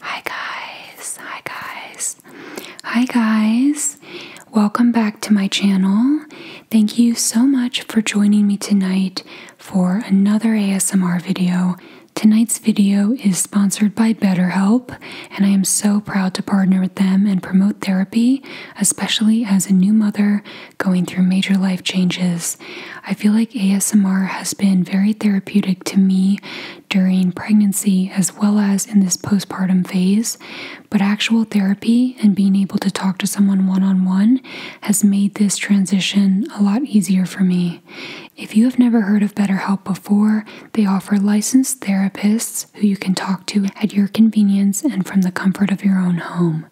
Hi guys, hi guys, hi guys. Welcome back to my channel. Thank you so much for joining me tonight for another ASMR video. Tonight's video is sponsored by BetterHelp and I am so proud to partner with them and promote therapy, especially as a new mother going through major life changes. I feel like ASMR has been very therapeutic to me during pregnancy as well as in this postpartum phase, but actual therapy and being able to talk to someone one on one has made this transition a lot easier for me. If you have never heard of BetterHelp before, they offer licensed therapists who you can talk to at your convenience and from the comfort of your own home.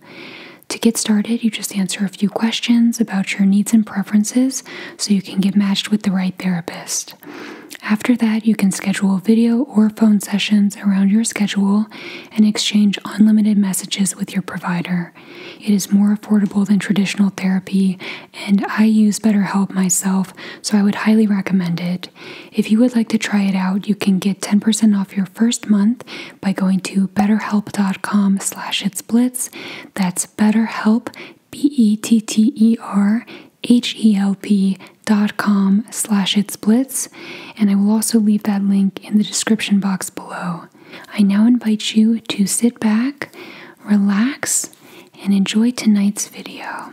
To get started, you just answer a few questions about your needs and preferences so you can get matched with the right therapist. After that, you can schedule video or phone sessions around your schedule and exchange unlimited messages with your provider. It is more affordable than traditional therapy, and I use BetterHelp myself, so I would highly recommend it. If you would like to try it out, you can get 10% off your first month by going to betterhelp.com slash its blitz. That's betterhelp, B-E-T-T-E-R, H-E-L-P dot com slash its blitz. And I will also leave that link in the description box below. I now invite you to sit back, relax, and enjoy tonight's video.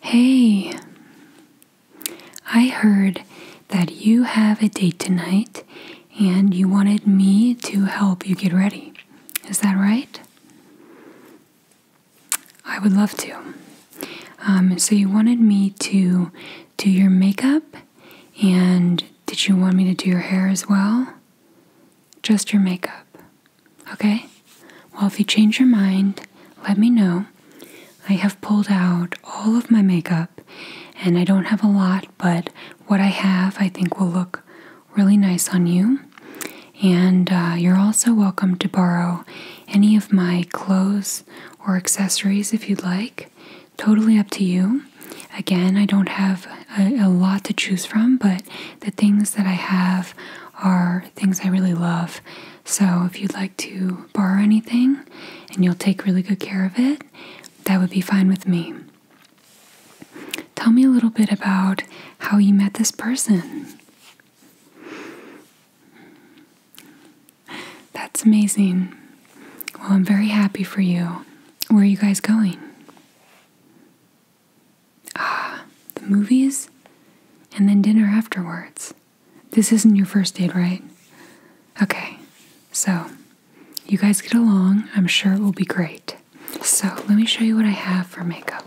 Hey, I heard that you have a date tonight and you wanted me to help you get ready. Is that right? I would love to. Um, so, you wanted me to do your makeup? And did you want me to do your hair as well? Just your makeup. Okay? Well, if you change your mind, let me know. I have pulled out all of my makeup and I don't have a lot, but what I have I think will look really nice on you. And uh, you're also welcome to borrow any of my clothes or accessories if you'd like. Totally up to you. Again, I don't have a, lot to choose from, but the things that I have are things I really love. So if you'd like to borrow anything and you'll take really good care of it, that would be fine with me. Tell me a little bit about how you met this person. That's amazing. Well, I'm very happy for you. Where are you guys going? Ah, the movies? And then dinner afterwards. This isn't your first date, right? Okay, so you guys get along. I'm sure it will be great. So, let me show you what I have for makeup.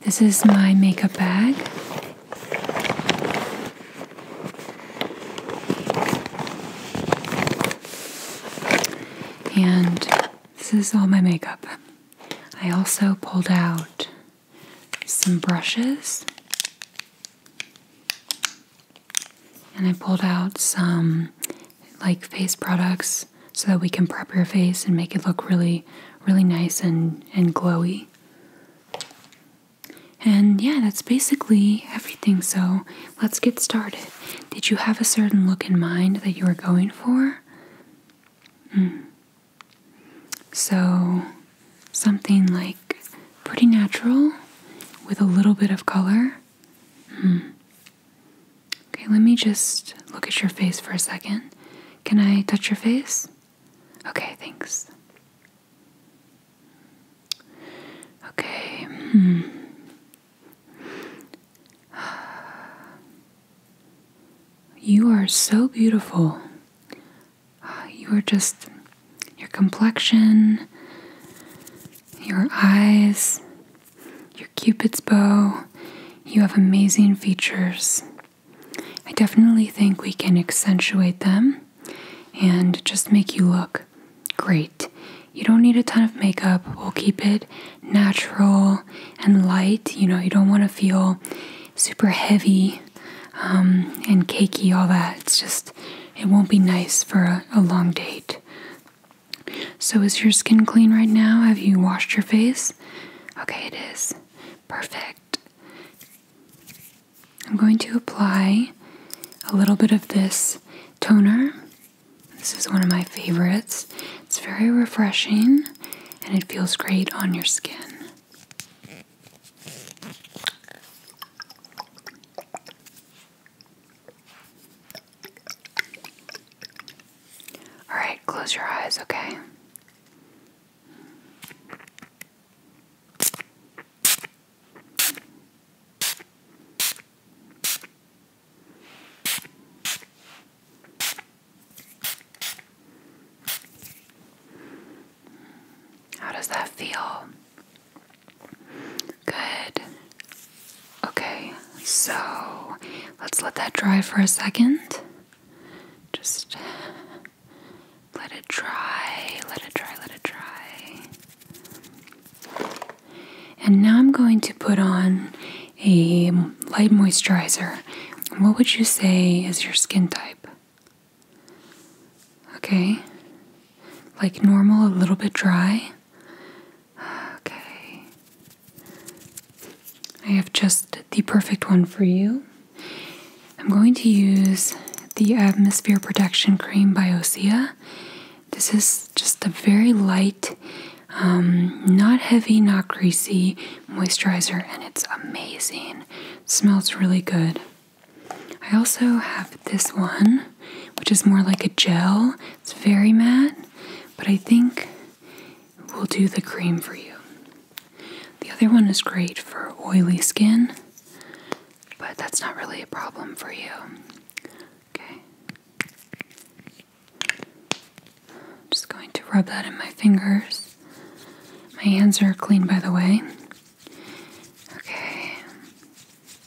This is my makeup bag. And this is all my makeup. I also pulled out some brushes and I pulled out some like face products so that we can prep your face and make it look really, really nice and, and glowy. And yeah, that's basically everything. So let's get started. Did you have a certain look in mind that you were going for? Mm. So something like pretty natural with a little bit of color. Mm. Okay, let me just look at your face for a second. Can I touch your face? Okay, thanks. Okay. Hmm. You are so beautiful. You are just your complexion, your eyes, your cupid's bow. You have amazing features. I definitely think we can accentuate them and just make you look great. You don't need a ton of makeup. We'll keep it natural and light. You know, you don't want to feel super heavy um, and cakey, all that. It's just, it won't be nice for a long date. So, is your skin clean right now? Have you washed your face? Okay, it is. Perfect. I'm going to apply a little bit of this toner. This is one of my favorites. It's very refreshing and it feels great on your skin. All right, close your eyes, okay? How does that feel? Good. Okay, so let's let that dry for a second. Just let it dry, let it dry, let it dry. And now I'm going to put on a light moisturizer. What would you say is your skin type? Okay, like normal, a little bit dry. Okay. I have just the perfect one for you. I'm going to use the Atmosphere Protection Cream by Osea. This is just a very light, um, not heavy, not greasy moisturizer, and it's amazing. smells really good. I also have this one which is more like a gel. It's very matte, but I think we'll do the cream for you. The other one is great for oily skin, but that's not really a problem for you. Okay. I'm just going to rub that in my fingers. My hands are clean, by the way. Okay.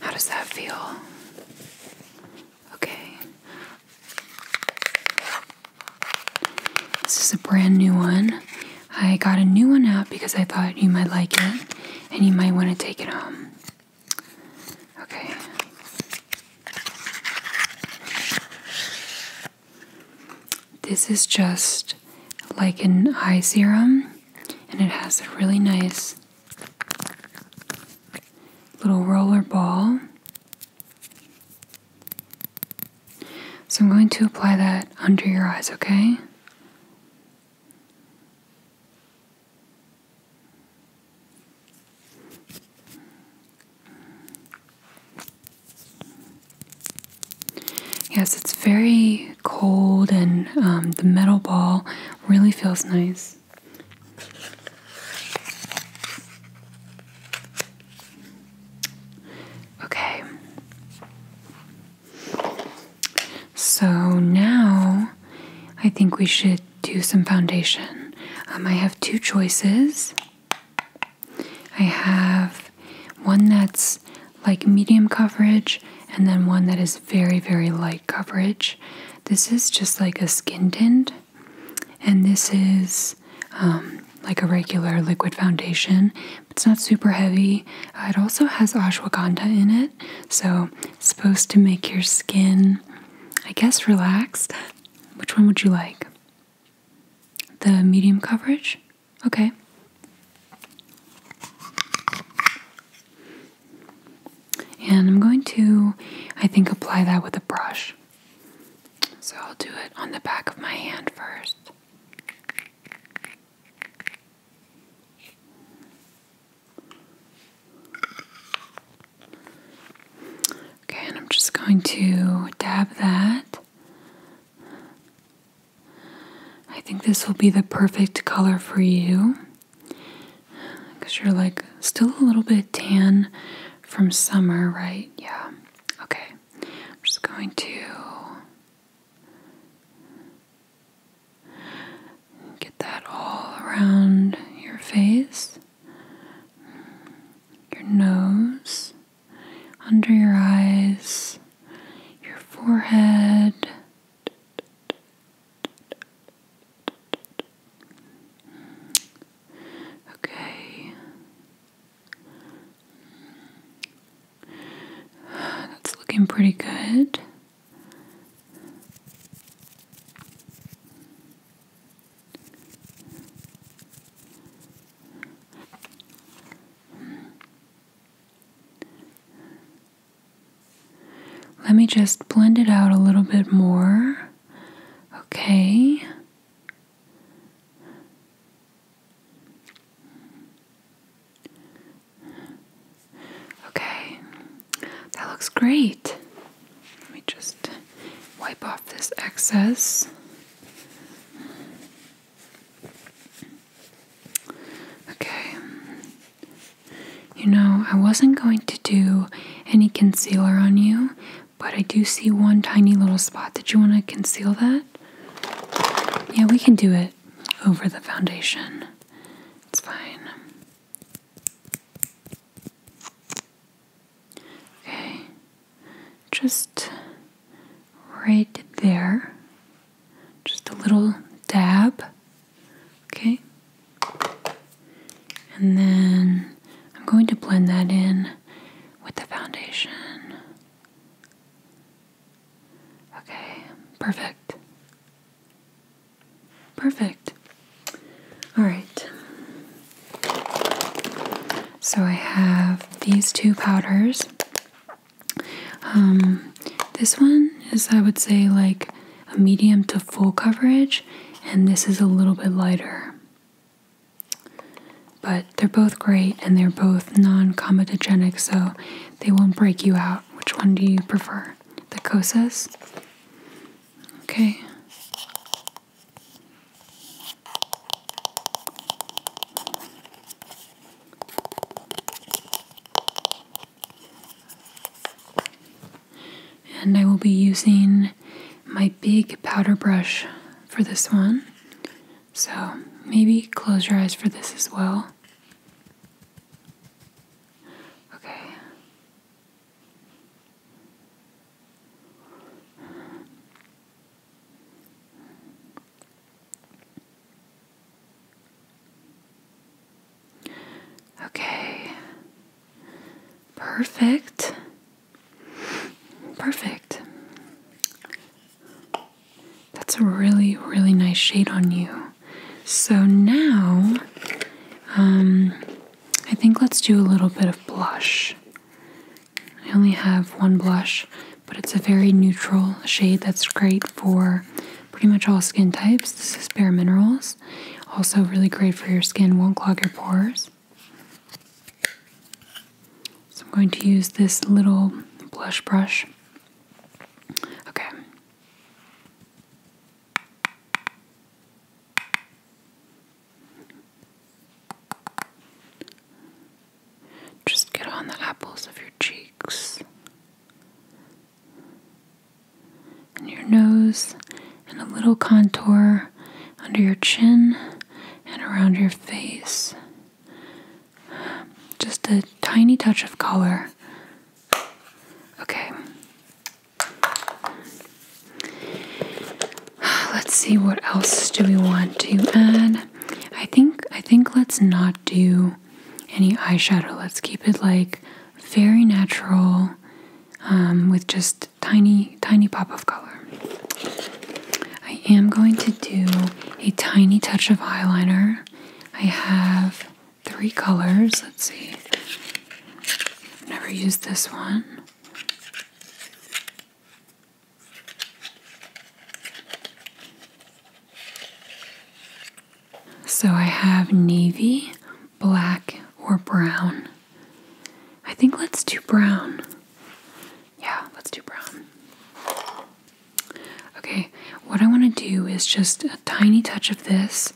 How does that feel? Okay. This is a brand new one. I got a new one out because I thought you might like it and you might want to take it home. Okay. This is just like an eye serum and it has a really nice little roller ball. So I'm going to apply that under your eyes, okay? Yes, it's very cold and um, the metal ball really feels nice. Okay. So now I think we should do some foundation. Um, I have two choices. I have one that's like medium coverage and then one that is very, very light coverage. This is just like a skin tint, and this is um, like a regular liquid foundation. It's not super heavy. Uh, it also has ashwagandha in it, so it's supposed to make your skin, I guess, relaxed. Which one would you like? The medium coverage? Okay. And I'm going to, I think, apply that with a brush. So I'll do it on the back of my hand first. Okay, and I'm just going to dab that. I think this will be the perfect color for you. Because you're like still a little bit tan from summer, right? Yeah. Okay. I'm just going to get that all around your face, your nose, under your eyes, your forehead. Okay. That's looking pretty good. Let me just blend it out a little bit more. Okay. Okay, that looks great. Let me just wipe off this excess. Okay, you know, I wasn't going to do any concealer on you, but I do see one tiny little spot. Did you want to conceal that? Yeah, we can do it over the foundation. It's fine. Okay, just right there just a little dab. Okay. And then I'm going to blend that in with the foundation. Okay, perfect. Perfect. All right. So I have these two powders. Um, this one is, I would say, like a medium to full coverage, and this is a little bit lighter. But they're both great and they're both non comedogenic, so they won't break you out. Which one do you prefer? The COSAs? Okay. And I will be using my big powder brush for this one. So maybe close your eyes for this as well. Okay. Okay. Perfect. Perfect. That's a really, really nice shade on you. So now, um, I think let's do a little bit of blush. I only have one blush, but it's a very neutral shade that's great for pretty much all skin types. This is Bare Minerals. Also, really great for your skin, won't clog your pores. So, I'm going to use this little blush brush. Okay. Just get on the apples of your cheeks and your nose, and a little contour under your chin and around your face. Just a tiny touch of color. Okay. Let's see what else do we want to add. I think I think let's not do any eyeshadow. Let's keep it like very natural um, with just tiny, tiny pop of color. I am going to do a tiny touch of eyeliner. I have three colors. Let's see. never used this one. So I have navy, black, or brown. I think let's do brown. Yeah, let's do brown. Okay, what I want to do is just a tiny touch of this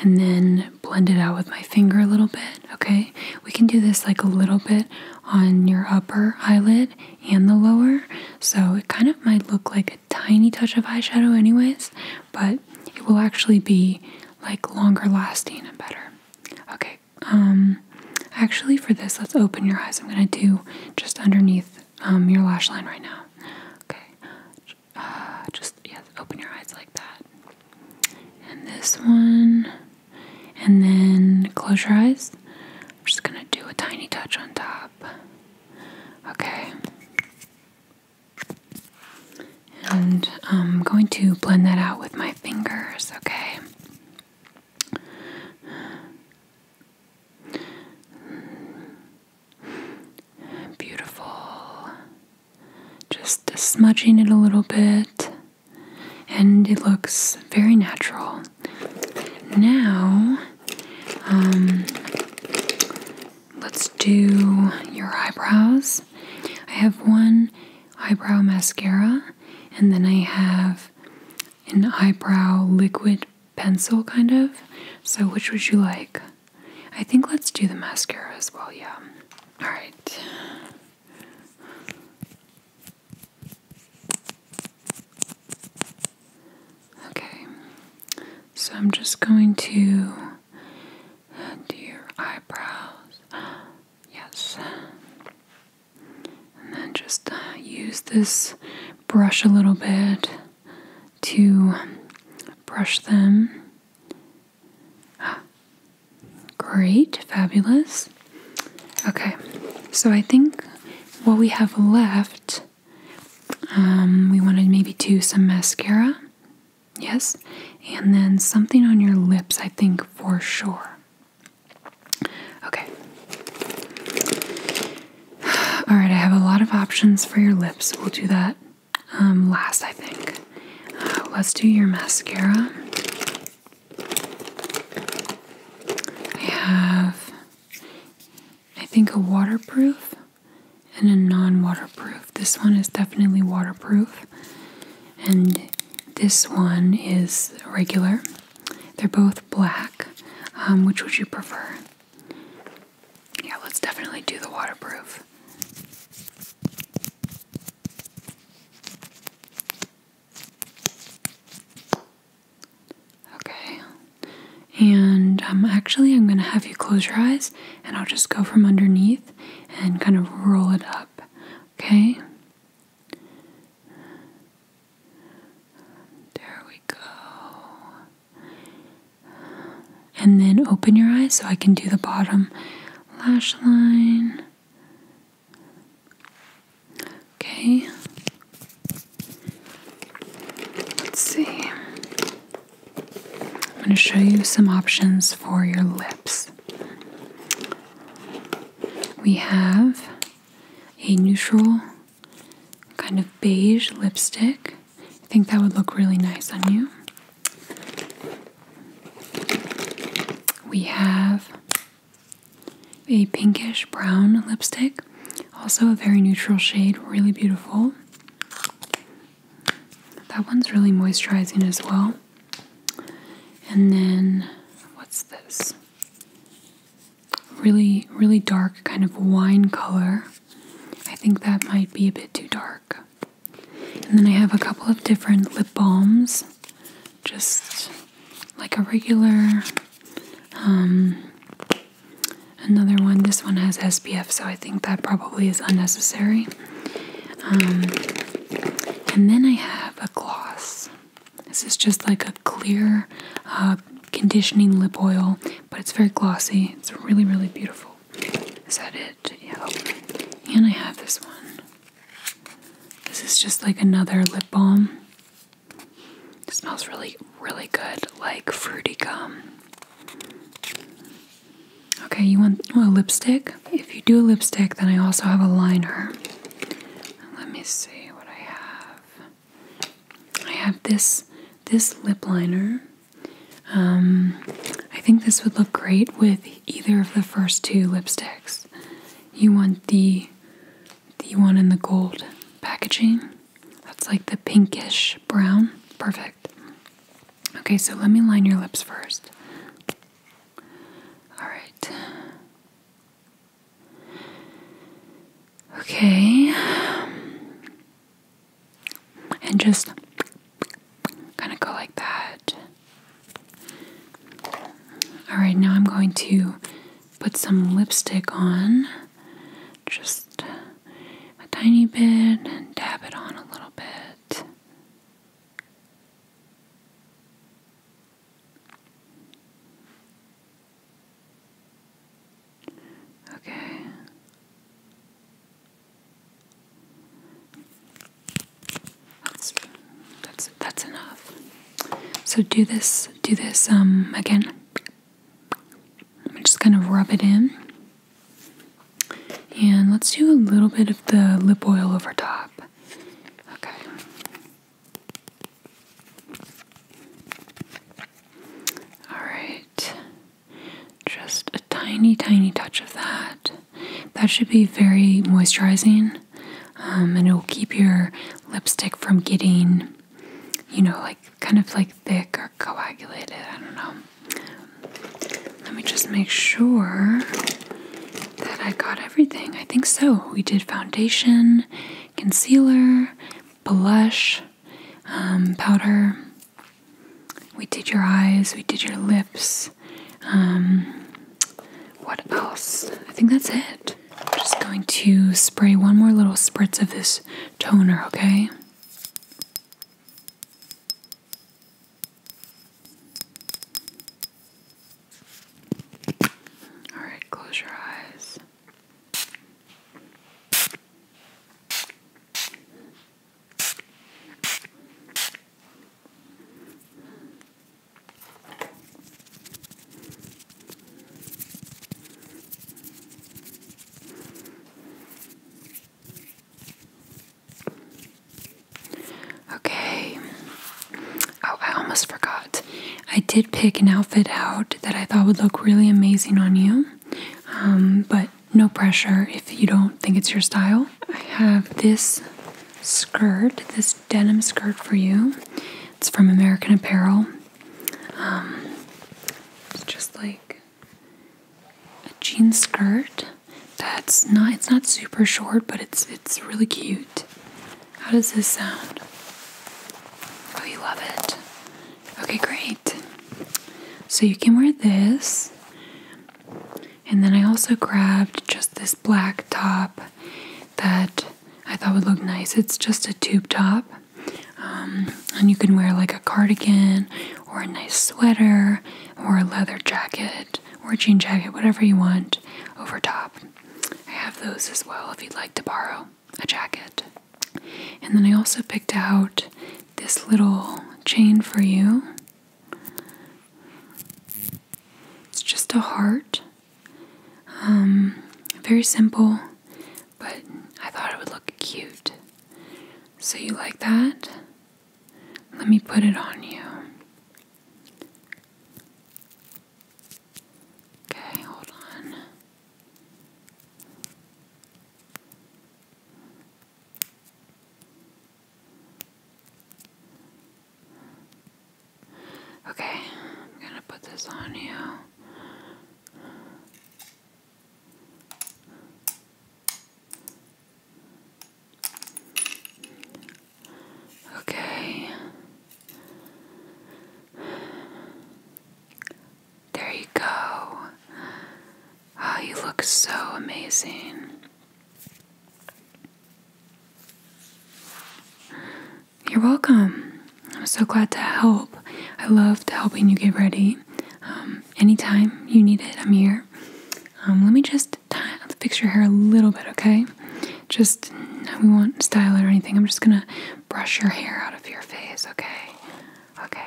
and then blend it out with my finger a little bit, okay? We can do this like a little bit on your upper eyelid and the lower, so it kind of might look like a tiny touch of eyeshadow, anyways, but it will actually be like longer lasting and better. Okay, um, actually, for this, let's open your eyes. I'm gonna do just underneath um, your lash line right now. Okay, uh, just yeah, open your eyes like that. And this one, and then close your eyes. I'm just gonna do a tiny touch on top. Okay. And I'm going to blend that out with my fingers, okay? Beautiful. Just smudging it a little bit, and it looks very natural. Now, um, let's do your eyebrows. I have one eyebrow mascara, and then I have an eyebrow liquid pencil, kind of. So, which would you like? I think let's do the mascara as well, yeah. Alright. Okay, so I'm just going to do your eyebrows. Yes. And then just uh, use this brush a little bit to brush them. great, fabulous. Okay, so I think what we have left um, we wanted maybe two, some mascara. Yes. And then something on your lips, I think for sure. Okay. All right, I have a lot of options for your lips. We'll do that um, last, I think. Uh, let's do your mascara. I have I think a waterproof and a non waterproof. This one is definitely waterproof, and this one is regular. They're both black. Um, which would you prefer? Yeah, let's definitely do the waterproof. Okay. And um, actually, I'm going to have you close your eyes and I'll just go from underneath and kind of roll it up. Okay? There we go. And then open your eyes so I can do the bottom lash line. Okay. Let's see. I'm going to show you some options for your lips. We have a neutral kind of beige lipstick. I think that would look really nice on you. We have a pinkish brown lipstick. Also, a very neutral shade, really beautiful. That one's really moisturizing as well. And then, what's this? Really, really dark kind of wine color. I think that might be a bit too dark. And then I have a couple of different lip balms, just like a regular um, Another one, this one has SPF, so I think that probably is unnecessary. Um, and then I have a gloss. This is just like a clear uh, conditioning lip oil, but it's very glossy. It's really, really beautiful. Is that it? Yeah. And I have this one. This is just like another lip balm smells really, really good, like fruity gum. Okay, you want a lipstick? If you do a lipstick, then I also have a liner. Let me see what I have. I have this this lip liner. Um, I think this would look great with either of the first two lipsticks. You want the the one in the gold packaging. That's like the pinkish brown. Perfect. Okay, so let me line your lips first. All right. Okay. And just kind of go like that. All right, now I'm going to put some lipstick on just a tiny bit and dab it on a little bit. Okay. That's that's that's enough. So do this do this um, again. I'm just kind of rub it in. And let's do a little bit of the lip oil over top. Okay. Alright. Just a tiny, tiny touch of that. That should be very moisturizing um, and it will keep your lipstick from getting you know, like kind of like thick or coagulated. I don't know. Let me just make sure that I got everything. I think so. We did foundation, concealer, blush, um, powder. We did your eyes, we did your lips. Um, what else? I think that's it. I'm just going to spray one more little spritz of this toner, okay? All right, close your eyes. Okay. Oh, I almost forgot. I did pick an outfit out that I thought would look really amazing on you, um, but no pressure if you don't think it's your style. I have this skirt, this denim skirt for you. It's from American Apparel. Um, it's just like a jean skirt that's not it's not super short but it's it's really cute. How does this sound? Oh you love it. Okay great. So you can wear this and then I also grabbed just this black top that I thought would look nice. It's just a tube top, um, and you can wear like a cardigan or a nice sweater or a leather jacket or a jean jacket, whatever you want over top. I have those as well if you'd like to borrow a jacket. And then I also picked out this little chain for you. It's just a heart um, very simple, but I thought it would look cute. So, you like that? Let me put it on you. Okay, hold on. Okay, I'm gonna put this on you. Okay. There you go. Oh, you look so amazing. You're welcome. I'm so glad to help. I love helping you get ready. Um, anytime you need it, I'm here. Um, let me just fix your hair a little bit, okay? Just, we won't style it or anything. I'm just gonna brush your hair out of your face, okay? Okay.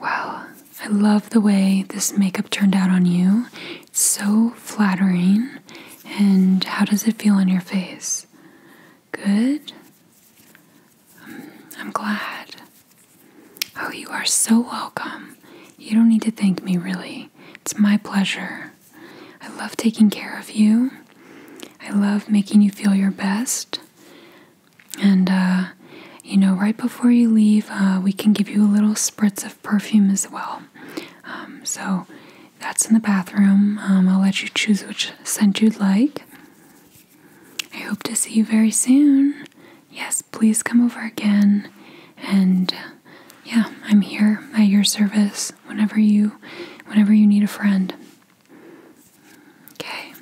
Wow, I love the way this makeup turned out on you. It's so flattering. And how does it feel on your face? Good? I'm glad. Oh, you are so welcome. You don't need to thank me, really. It's my pleasure. I love taking care of you. I love making you feel your best. And, uh, you know, right before you leave, uh, we can give you a little spritz of perfume as well. Um, so that's in the bathroom. Um, I'll let you choose which scent you'd like. I hope to see you very soon. Yes, please come over again. And yeah, I'm here at your service whenever you whenever you need a friend. Okay.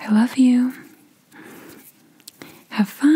I love you. Have fun.